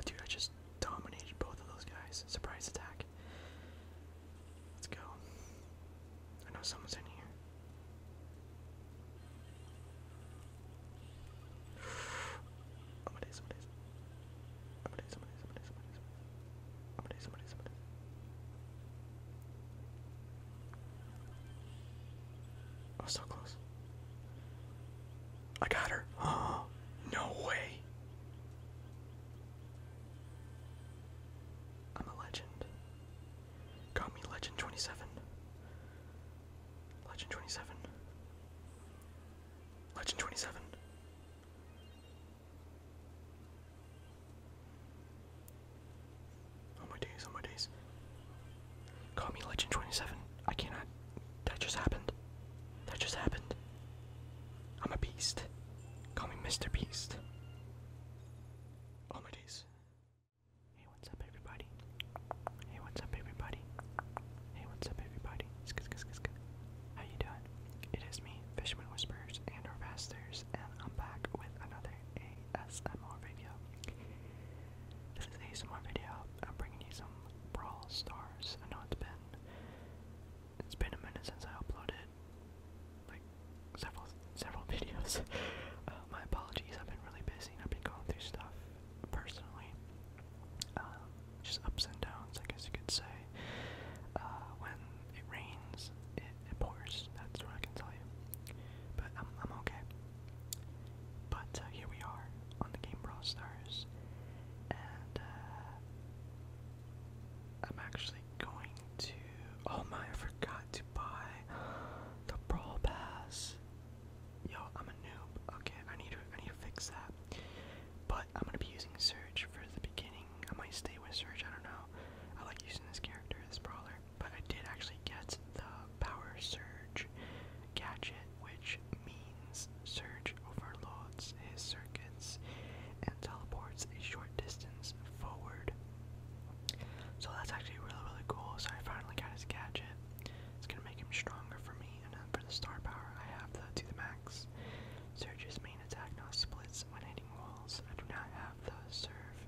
Oh, dude, I just dominated both of those guys. Surprise attack. Let's go. I know someone's in here. Somebody, somebody, Oh, so close. I got her. no way. I'm a legend. Got me legend 27. Legend 27. Legend 27. Oh my days, oh my days. Call me Legend 27. I cannot. That just happened. That just happened. I'm a beast. Call me Mr. Beast. Oh my days. Hey, what's up, everybody? everybody? Hey, what's up, everybody? Hey, what's up, everybody? How you doing? It is me, Fisherman Whispers and our and I'm back with another ASMR video. This is ASMR video. I'm bringing you some raw Stars. I know it's been it's been a minute since I uploaded like several several videos. Uh, my apologies. I've been really busy. and I've been going through stuff personally. Um, just ups and downs, I guess you could say. Uh, when it rains, it, it pours. That's what I can tell you. But I'm, I'm okay. But uh, here we are on the game Brawl Stars, and uh, I'm actually going to. Oh my! I forgot to buy the Brawl Pass. Yo, I'm a noob. Okay, I need to I need to fix that. But I'm gonna be using Surge for the beginning. I might stay with Surge, I don't know. I like using this character, this brawler. But I did actually get the power surge gadget, which means Surge overloads his circuits and teleports a short distance forward. So that's actually really really cool. So I finally got his gadget. It's gonna make him stronger for me and for the star power, I have the to the max. Surge's main attack now splits when hitting walls. I do not have the serve.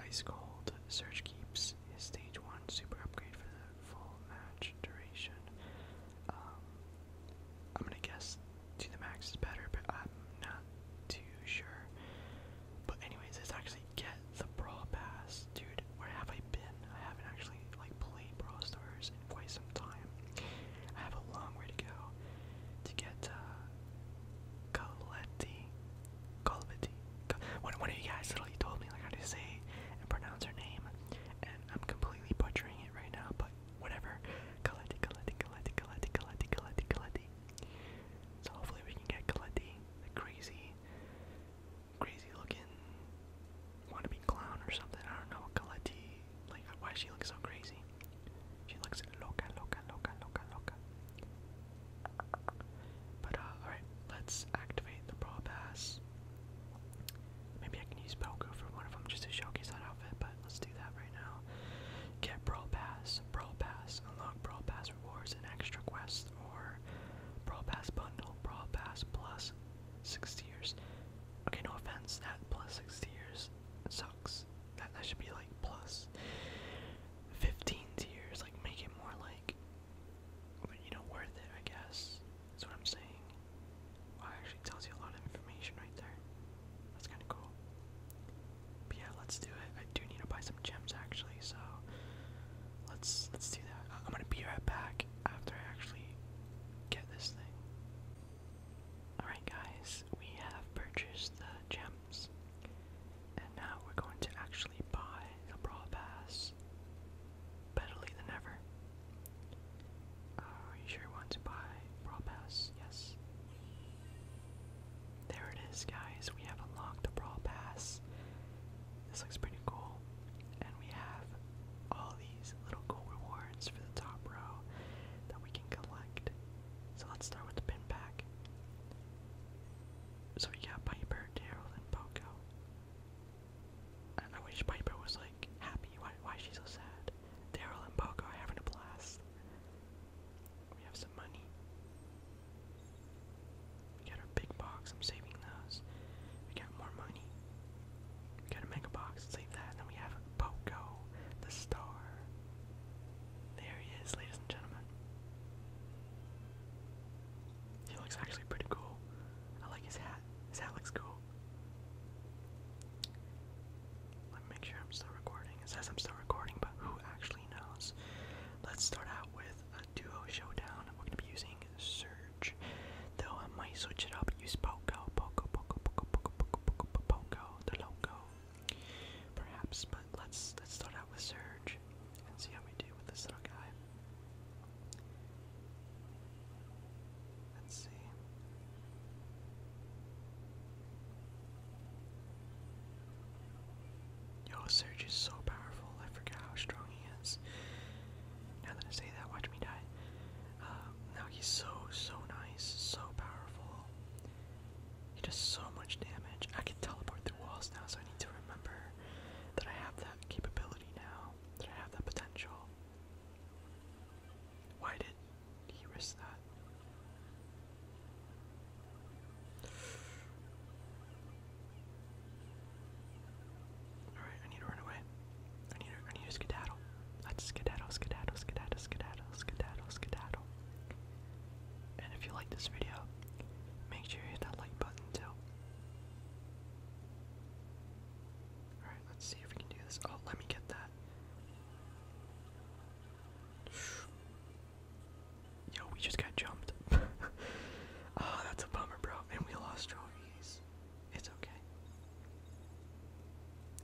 Ice Cold. Surge keeps his stage 1 super upgrade for the full match duration. Um, I'm gonna guess to the max is better, but I'm not too sure. But anyways, let's actually get the Brawl Pass. Dude, where have I been? I haven't actually like played Brawl Stars in quite some time. I have a long way to go to get uh Coletti. Coletti. Col one, one of you guys literally told me like how to say and pronounce her name and I'm completely butchering it right now, but whatever. Coletti, Coletti, Coletti, Coletti, Coletti, Coletti, Coletti. So hopefully we can get Coletti, the crazy crazy looking wannabe clown or something. I don't know. Galati. Like, why she looks so crazy? She looks loca, loca, loca, loca, loca. But, uh, alright, let's activate the Brawl Pass. Maybe I can use Poco for one of them just to showcase that outfit, but let's do that right now. Get Brawl Pass, Brawl Pass, unlock Brawl Pass rewards and extra quests, or Brawl Pass Bundle, Brawl Pass Plus, 60 years. Okay, no offense, that plus 60 years sucks. That, that should be like plus 15 years, like make it more like, you know, worth it, I guess. That's what I'm saying. Well, actually tells you a lot of information right there. That's kind of cool. But yeah, let's do it. I do need to buy some gems actually, so Let's let's do that. I'm gonna be right back after I actually get this thing. Alright guys, we have purchased the gems. And now we're going to actually buy the Brawl Pass. Better than ever. are you sure you want to buy Brawl Pass? Yes. There it is, guys. We have unlocked the Brawl Pass. This looks pretty cool and we have all these little rewards for the top row that we can collect. So let's start with the pinback. So we got Piper, Daryl, and Poco. I, I wish Piper was like happy. Why why is she so sad? Daryl and Poco are having a blast. We have some money. We got our big box. I'm saving those. We got more money. We got a mega box. Save that. And then we have Poco, the star. There he is, ladies and gentlemen. He looks actually pretty cool. I like his hat. His hat looks cool. Let me make sure I'm still recording. It says I'm still recording, but who actually knows? Let's start out with a duo showdown. We're going to be using Surge. Though I might switch it up, and use Poco, Poco, Poco, Poco, Poco, Poco, Poco, Poco, the logo. Perhaps, but let's let's start out with Surge and see how we do with this little guy. Let's see. Yo, Surge is so powerful. I forgot how strong now that I say that, watch me die. Um, now he's so, so nice, so powerful. He does so much damage. I can teleport through walls now, so I need to remember that I have that capability now, that I have that potential. Why did he risk that? Alright, I need to run away. I need to, I need to skedaddle. Let's skedaddle, skedaddle, skedaddle, skedaddle, skedaddle, skedaddle. And if you like this video, make sure you hit that like button too. Alright, let's see if we can do this. Oh, let me get that. Yo, we just got jumped. oh, that's a bummer, bro. And we lost trophies it's okay.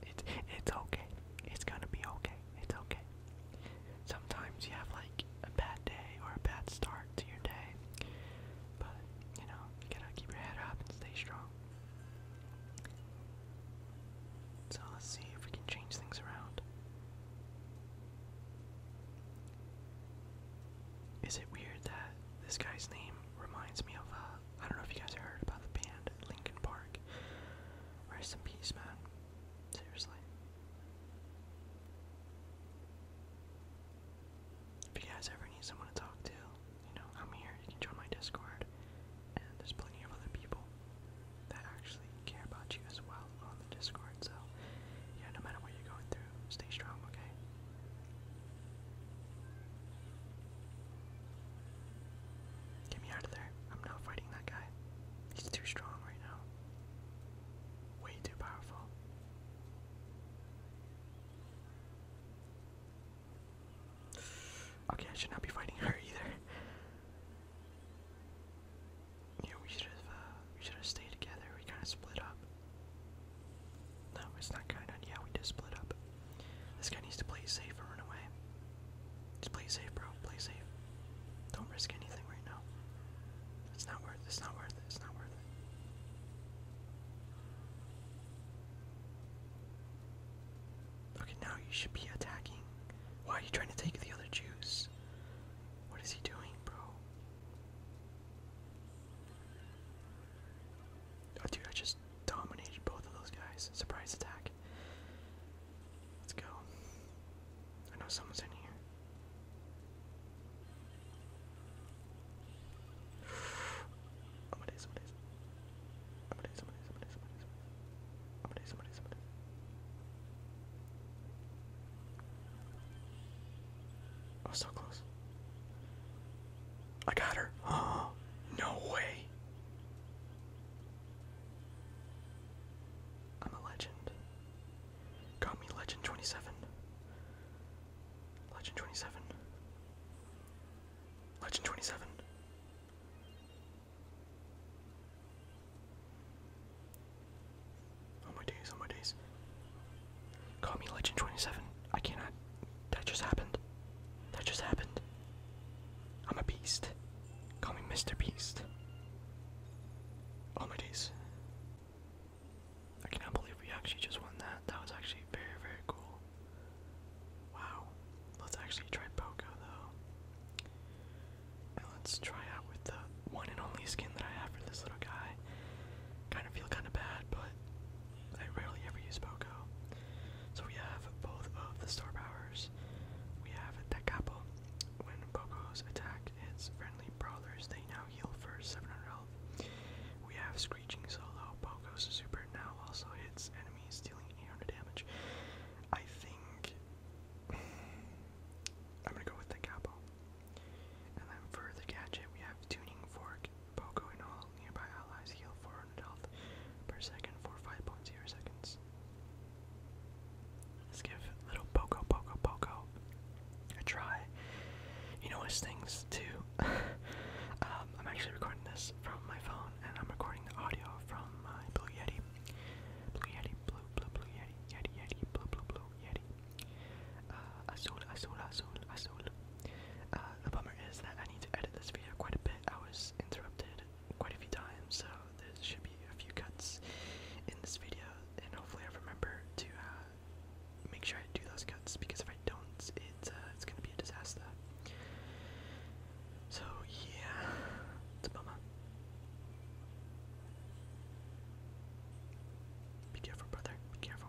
It's it's okay. It's gonna be okay. It's okay. Sometimes you have like a bad day or a bad start to your day, but you know you gotta keep your head up and stay strong. So let's see if we can change things around. Is it weird that this guy's name reminds me of, a? Uh, don't know if you guys heard about the band Lincoln Park. Rest in peace, man. Seriously. If you guys ever need someone to talk to, you know, I'm here. You can join my Discord. And there's plenty of other people that actually care about you as well on the Discord. So yeah, no matter what you're going through, stay strong, okay? Get me out of there. I'm not fighting that guy. He's too strong right now. Way too powerful. Okay, I should not be fighting her either. Yeah, we should have. Uh, we should have stayed together. We kind of split up. No, it's not kind Yeah, we did split up. This guy needs to play safe and run away. Just play safe, bro. Play safe. Don't risk anything right now. It's not worth. It's not worth It's not worth Okay, now you should be attacking. Why are you trying to take the other juice? What is he doing, bro? Oh, dude, I just dominated both of those guys. Surprise attack. Let's go. I know someone's in here. Somebody, somebody, somebody, somebody, somebody, somebody, somebody, somebody, somebody, somebody. Oh, so close. I got her. no way. I'm a legend. Got me legend 27. Legend 27. Legend 27. Oh my days, oh my days. Call me Legend 27. I cannot. That just happened. That just happened. I'm a beast. Call me Mr. Beast. Oh my days. I cannot believe we actually just won that. That was actually very, very cool. Wow. Let's actually try Poco though. let's try out with the one and only skin that I have for this little guy. Kind of feel kind of bad, but I rarely ever use Poco. So we have both of the star powers. We have Decapo. When Poco's attack its friendly brawlers, they now heal for 700 health. We have Screeching Solo. Poco's super now also hits enemies, dealing 800 damage. I think. I'm gonna go with the Decapo. And then for the gadget, we have Tuning Fork, Poco and all nearby allies heal 400 health per second for 5.0 seconds. Let's give little Poco Poco Poco a try. You know his things too. Um, I'm actually recording this from my phone, and I'm recording the audio from my Blue Yeti. Blue Yeti, blue, blue, blue Yeti, Yeti, Yeti, blue, blue, blue Yeti. Uh, azul, azul, azul, azul. Uh, the bummer is that I need to edit this video quite a bit. I was interrupted quite a few times, so there should be a few cuts in this video, and hopefully I remember to uh, make sure I do those cuts because if I don't, it's uh, it's gonna be a disaster. So yeah, it's a bummer. Be careful, brother. Be careful.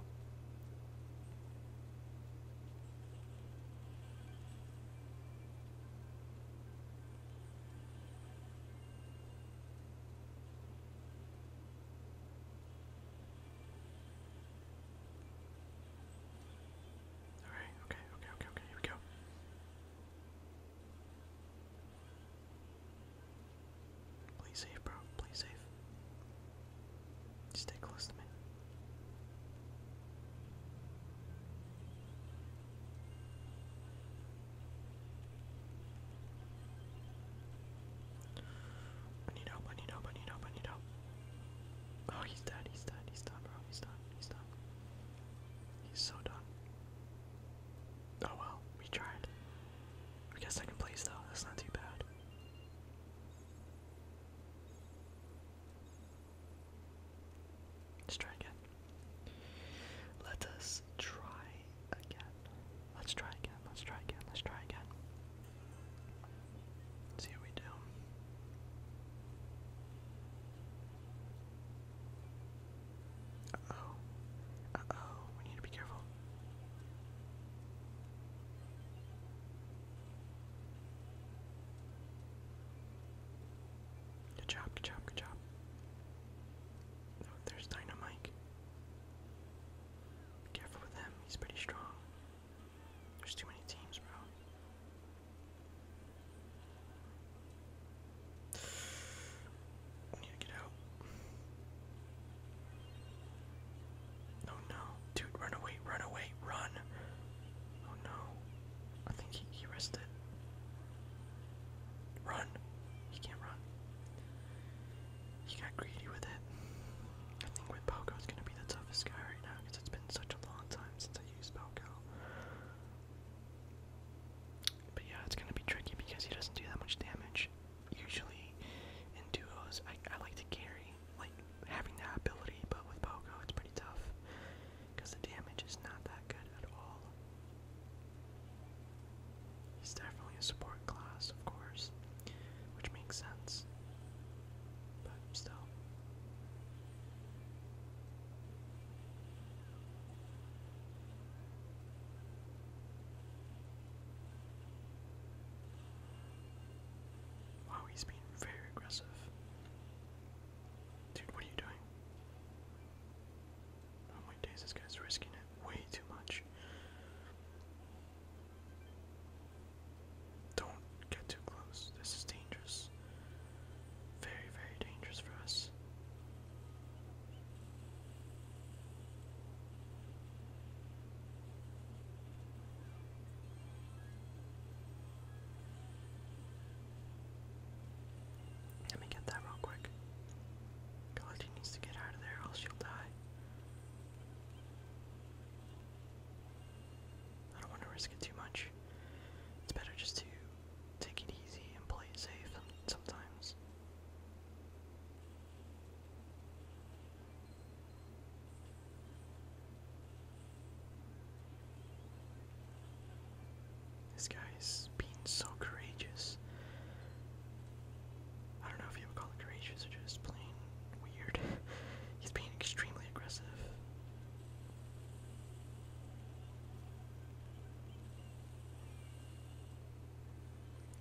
All right. Okay. Okay. Okay. Okay. Here we go. Please save, bro. Please save. Stay close to me. I need help, I need help, I need help, I need help. Oh, he's dead, he's dead, he's done, bro. He's done, he's done. He's so done. Oh well, we tried. I guess second place though, that's not too bad. Let's try again. Let us try again. Let's try again. Let's try again. Let's try again. see how we do. Uh oh. Uh oh. We need to be careful. Good job, good job, good job. Oh, there's Dynamite. Be careful with him, he's pretty strong. There's too many teams, bro. We get out. Oh no. Dude, run away, run away, run. Oh no. I think he, he rested. Run. He can't run. He got greedy with it. I think with Poco is gonna be the toughest guy right now because it's been such a long time since I used Poco. But yeah, it's gonna be tricky because he doesn't do that much damage usually in duos, I, I like to carry, like having that ability, but with Pogo, it's pretty tough because the damage is not that good at all. He's definitely a support class, of course, which makes sense, but still. Wow, he's being very aggressive. Dude, what are you doing? Oh my days, this guy's risking it way too much. Don't get too close. This is dangerous. Very, very dangerous for us. Let me get that real quick. Galati needs to get out of there, or she'll die. I don't want to risk it too much. It's better just to take it easy and play it safe sometimes. This guy is being so courageous. I don't know if you would call it courageous or just plain weird. He's being extremely aggressive.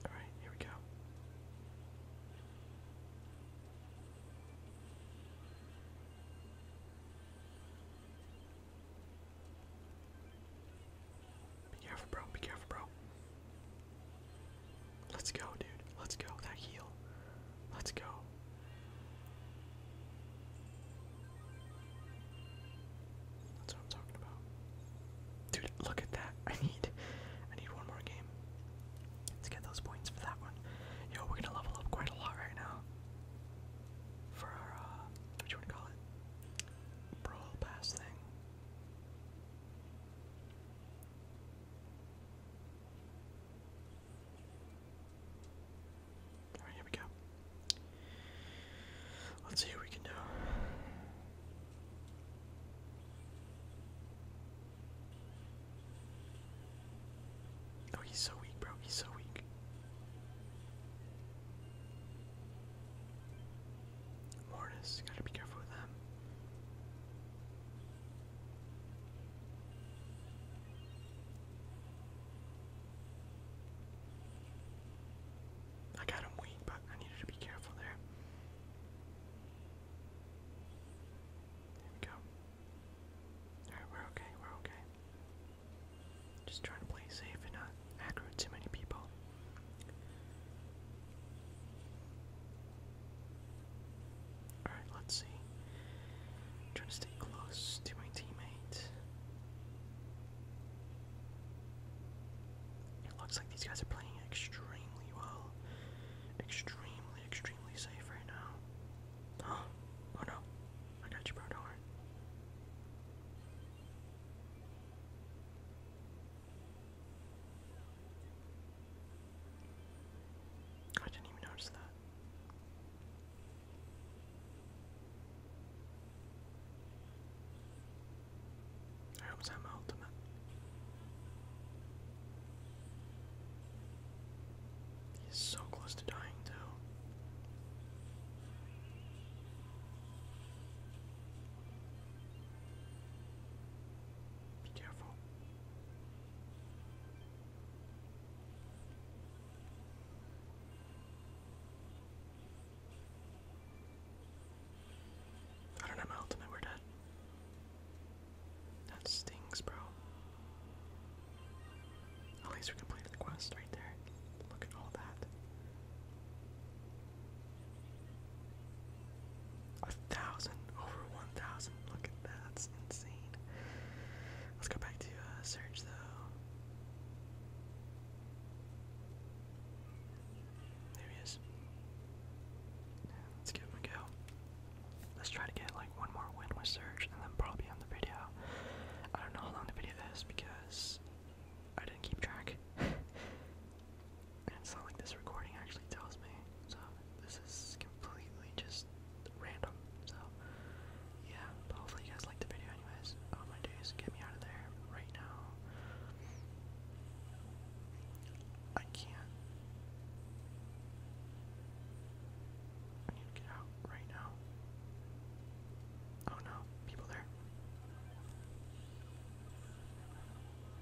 Alright, here we go. Be careful, bro. Be careful, bro. Let's go, dude. Let's go. That heel. Let's go. That's what I'm talking about. Dude, look at that. I need I need one more game. Let's get those points for that one. Yo, we're gonna level up quite a lot right now. For our uh what call it? Brawl pass thing. Alright, here we go. Let's see what we can do. Oh, he's so weak, bro. He's so weak. Mortis, gotta be careful with them. I got him weak, but I needed to be careful there. There we go. Alright, we're okay, we're okay. Just trying to play safe and not aggro too many people. Alright, let's see. trying to stay close to my teammate. It looks like these guys are playing extremely well extremely, extremely safe right now. Oh, oh no. I got you, bro. Don't worry. I didn't even notice that. I hope I'm ultimate. He's so close to dying too. Be careful. I don't have my ultimate, we're dead. That stings, bro. At least we completed the quest right there. Look at all that. A thousand, over one thousand. Look at that. That's insane. Let's go back to uh, search though. There he is. Let's give him a go. Let's try to get like one more win with Surge and then probably on the video. I don't know how long the video is because I didn't keep track. and it's not like this recording actually tells me. So this is completely just random. So yeah, hopefully you guys like the video anyways. All I'm gonna do is get me out of there right now. I can't. I need to get out right now. Oh no, people there.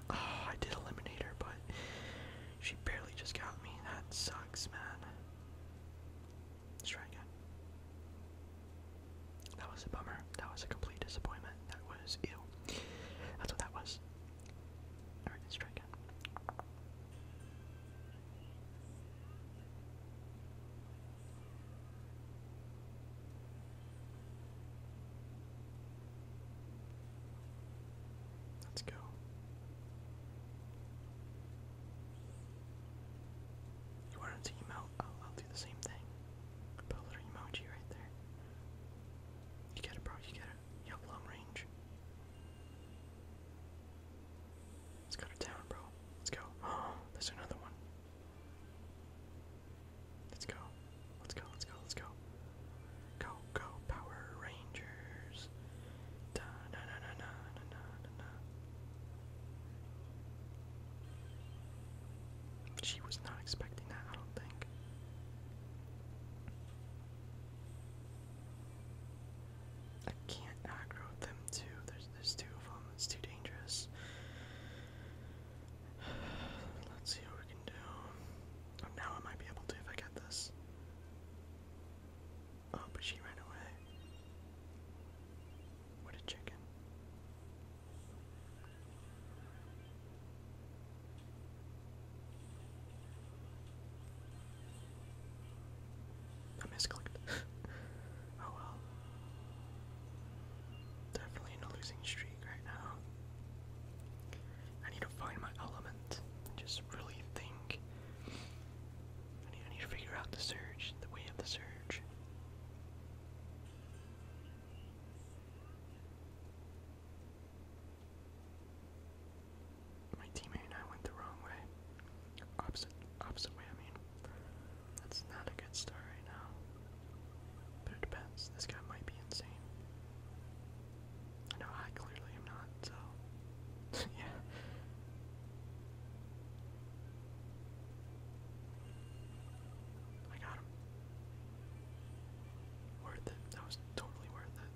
Oh, I did eliminate her, but she barely just got me. That sucks, man. Let's try again. That was a bummer. That was a complete disappointment. That was ew. That's what that was. Alright, let's try again. Let's go. You want to emote? I'll do the same thing. Put a little emoji right there. You get it, bro. You get it. You have long range. It's got a town, bro. Let's go. Oh, there's another one. Let's go. Let's go. Let's go. Let's go. Go, go, Power Rangers. Da na na na na na na She was not expecting that, I don't think. I can't aggro them too. There's there's two of them. It's too dangerous. Let's see what we can do. Oh, now I might be able to if I get this. Oh, but she ran away. What a chicken. I misclicked. oh well. Definitely in a losing streak right now. I need to find my element just really think. I need, I need to figure out the surge, the way of the surge. My teammate and I went the wrong way. Opposite, opposite way, I mean. That's not a good start right now. But it depends. This guy might be insane. I know I clearly am not, so. yeah. I got him. Worth it. That was totally worth it.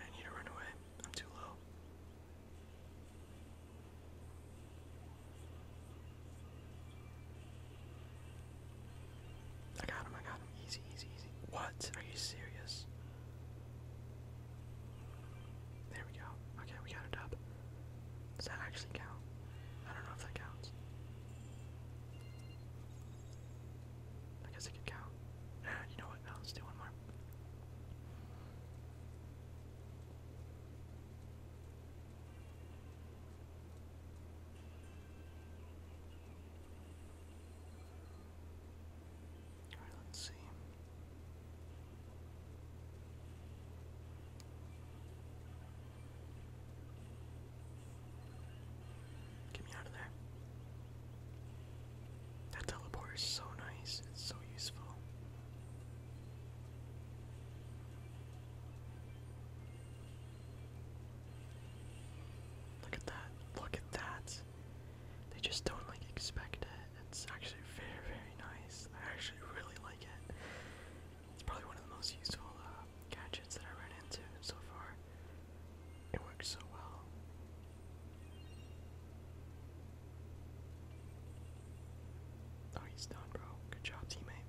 I need to run away. I'm too low. I got him, I got Easy, easy, easy. What? Are you serious? There we go. Okay, we got it up. Does that actually count? I don't know if that counts. I guess it could count. Ah, you know what? No, let's do one more. Alright, let's see. Get me out of there. That teleporter is so nice, it's so useful. Look at that, look at that they just don't like expect it. It's actually very, very nice. I actually really like it. It's probably one of the most useful uh, gadgets that I ran into so far. It works so well. Oh, he's done, bro. Good job, teammate.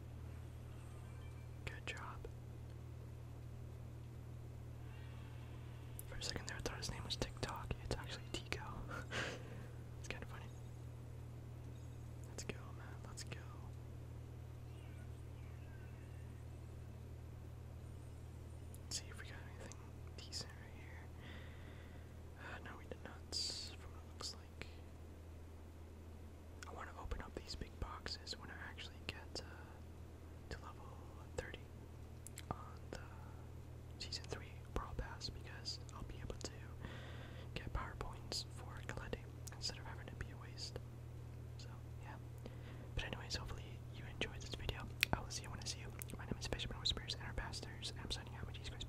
Good job. For a second there, I thought his name was TikTok. It's actually Tico. it's kind of funny. Let's go, man. Let's go. see if we got anything decent right here. Uh, no, we did not, from what looks like. I want to open up these big boxes when I actually get uh, to level 30 on the Season 3 Brawl Pass because I'll be able to get power points for collecting instead of having to be a waste. So, yeah. But anyways, hopefully you enjoyed this video. I will see you when I see you. My name is Fisherman with Whispers and our pastors, I'm signing out with Jesus Christ